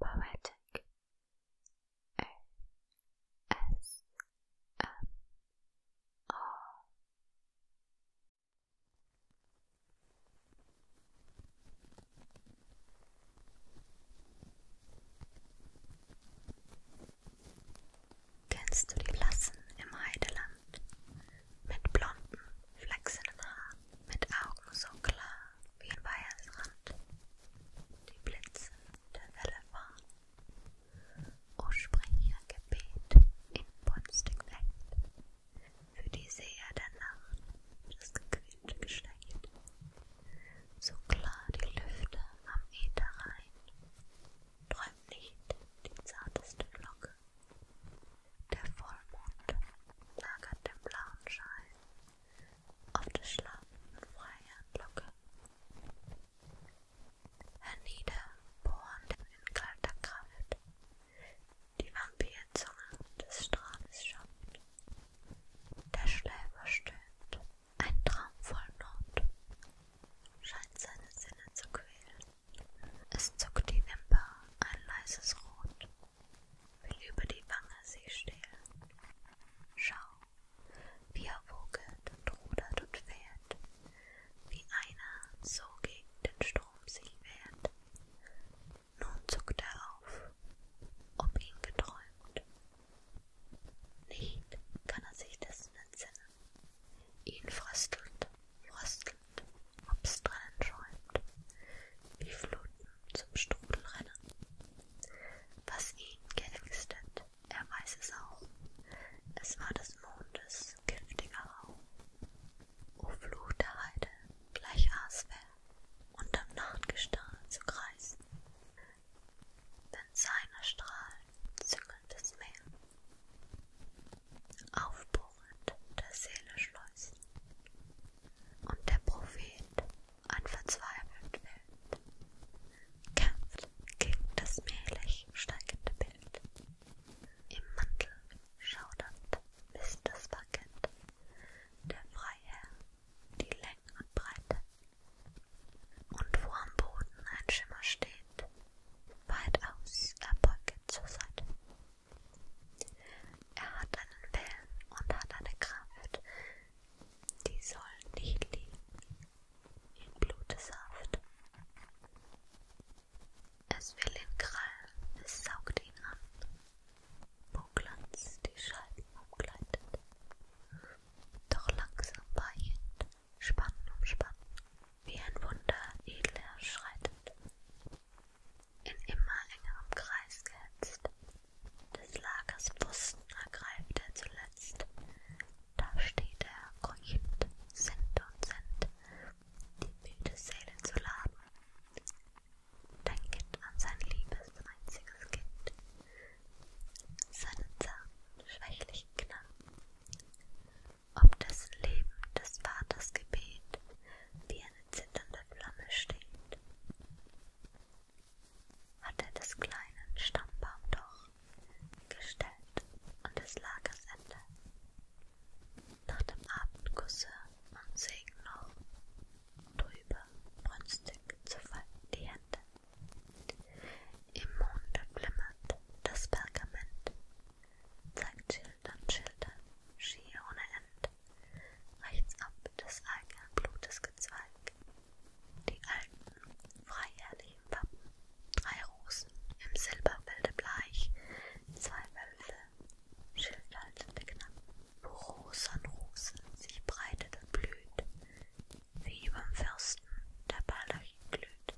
Poetic A S M R Kennst du die Blassen im Heideland? mit blonden, flachsenden Haaren, mit Augen so klar wie ein Weihersrand, die Blitze der Welle fahren. O spring ihr Gebet in bunstig Flecht, für die Seher der Nacht das gequälte Geschlecht. So klar die Lüfte am Äther rein, träumt nicht die zarteste Glocke der Vollmond lagert den blauen Schein auf der schlaffenden Freihandlocke. Herniederbohrend in kalter Kraft die Vampirzunge des Strahles schafft. Der Schläfer stöhnt, ein Traum voll Not, scheint seine Sinne zu quälen. Es zuckt die Wimper ein leises Rot, will über die Wange sie stehlen. Schau, wie er wogelt und rudert und fährt, wie einer so gegen den Strom sich wehrt. Nun zuckt er auf, ob ihn geträumt. Nicht kann er sich dessen entsinnen, ihn fröstelt, fröstelt, ob's drinnen schäumt, wie Fluten zum Strudel rennen. Was ihn geängstet, er weiß es auch, es war des Mondes giftiger Rauch. O Flut der Heide, gleich Asper, unterm Nachtgestahl zu kreisen, wenn seiner Strahl züngelndes Meer, aufbohrend der Seele schleusen. Und der Prophet, ein verzweifelt Wild, kämpft gegen das mählich steigende Bild. Im Mantel schaudernd bis das Parkett, der Freiherr die Länge und Breite. Und wo am Boden ein Schimmer steht, weit aus erbeugt zur Seite. Er hat einen Willen und hat eine Kraft, die soll nicht liegen in Blutsaft. Es will ihn krallen, es saugt ihn an, wo Glanz die Scheiben umgleitet, doch langsam weichend Spannen um Spannen, wie ein Wunder edler schreitet, in immer engerem Kreis gehetzt, des Lagers Pfosten ergreift er zuletzt, da steht er keuchend, Cent und Cent, die müde Seele zu laden, dein Kind an sein liebes, einziges Kind, seinen zarten, schwächlichen Knaben, ob das Leben des Vaters Gebet wie eine zitternde Flamme steht. Hat er des kleinen Stammbaum doch gestellt und des Lagers Ende. Nach dem Abendkusse und Segen noch drüber brünstig zu falten die Hände. Im Monde flimmert das Pergament, zeigt Schilder und Schilder, schier ohne End, rechts ab des eigenen Blutes gezweig, die alten, freiherrlichen Wappen, drei Rosen im Silberbilde bleich, zwei Wölfe, schildhaltende Knappen, wo Rosen Rosen sich breitet und blüht, wie überm Fürsten der Baldachen glüht,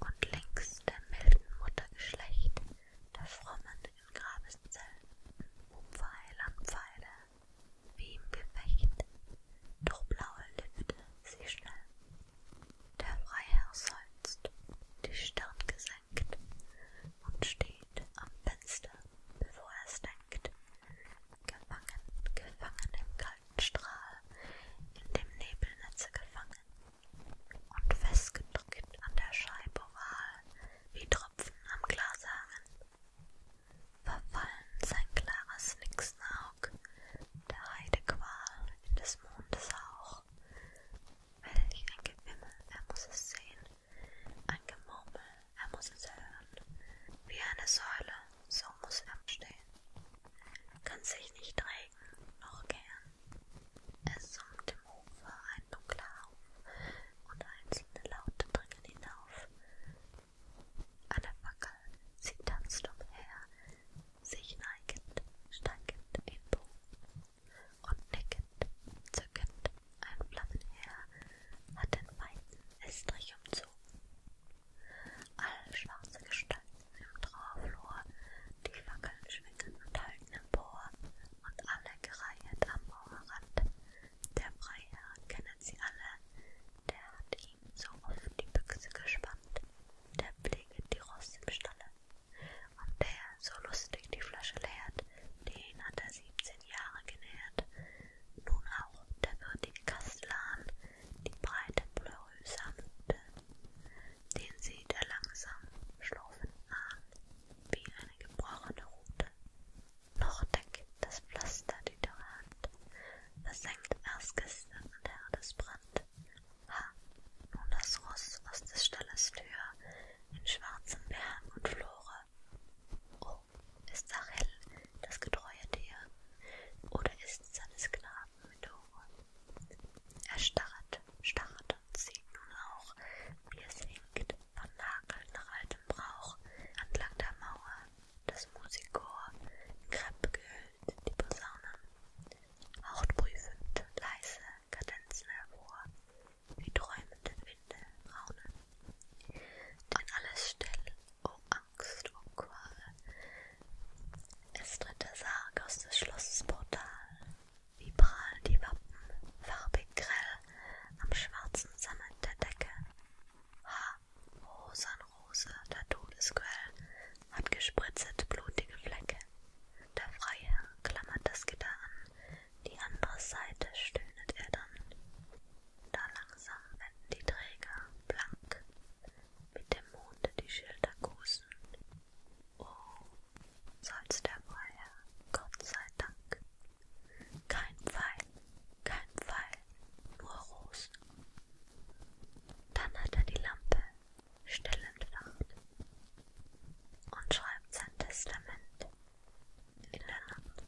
und links der milden Muttergeschlecht der Frommen in Grabeszellen, um Pfeil an Pfeile, wie im Gefecht, durch blaue Lüfte sie schnell. Der Freiherr seufzt, die Stirn gesenkt, und steht am Fenster, bevor er's denkt, Gefangen, gefangen im kalten Strahl, in dem Nebelnetze gefangen und festgedrückt an der Scheibe oval, wie Tropfen am Glas hangen. Verfallen sein klares Nixenaug, der Heidequal in des Mondes Hauch. Welch ein Gewimmel, er muss es sehen, ein Gemurmel, er muss es hören. Wie eine Säule, so muss er stehen. Kann sich nicht regen, noch gern. Es summt im Ufer ein dunkler Hauf und einzelne Laute dringen hinauf. An der Fackel, sie tanzt umher, sich neigend, steigend in Bogen und nickend, zückend, ein Flammenheer hat den weiten Estrich umzogen. Alle schwarze Gestalten im Trauerflor, die Fackeln schwingen und halten empor, und alle gereiht am Mauerrand. Der Freiherr kennt sie alle, der hat ihm so oft die Büchse gespannt, der pfleget die Ross im Stalle. Und der so lustig die Flasche leert, den hat er siebzehn Jahre genährt. Nun auch der würdige Kastellan die breite Pleuris sammte, den sie der langsam schlurfenden Arm wie eine gebrochene Rute. Noch deckt das Pflaster die dürre Hand, versenkt erst gestern an der Herdesbrand. Ha, nun das Ross aus des Stalles Tür in schwarzem Behang und Flore Oh, ist Sachel das getreue Tier? Oder ist seines Knaben Methore? Er starrt, starrt und sieht nun auch, wie es hinkt, von Nageln nach altem Brauch, entlang der Mauer, das Musikchor, in Krepp gehüllt, die Posaunen. Haucht prüfend, leise, Kadenzen hervor, wie träumenden Winde raunen. An alles still, o oh Angst, o oh Qual. Es tritt der Sarg aus des Schlosses Portal, wie prahl die Wappen, farbig grell, am schwarzen Sammet der Decke. Ha, Rosanrose, der Todesquell, hat gespritzet blutige Flecke. Der Freiherr klammert das Gitter an, die andere Seite, stöhnet er dann. Da langsam wenden die Träger blank, mit dem Mond die Schilder kusen. Oh, seufzt der Freiherr, Gott sei Dank. Kein Pfeil, kein Pfeil, nur Rosen. Dann hat er die Lampe still entfacht und schreibt sein Testament in der Nacht.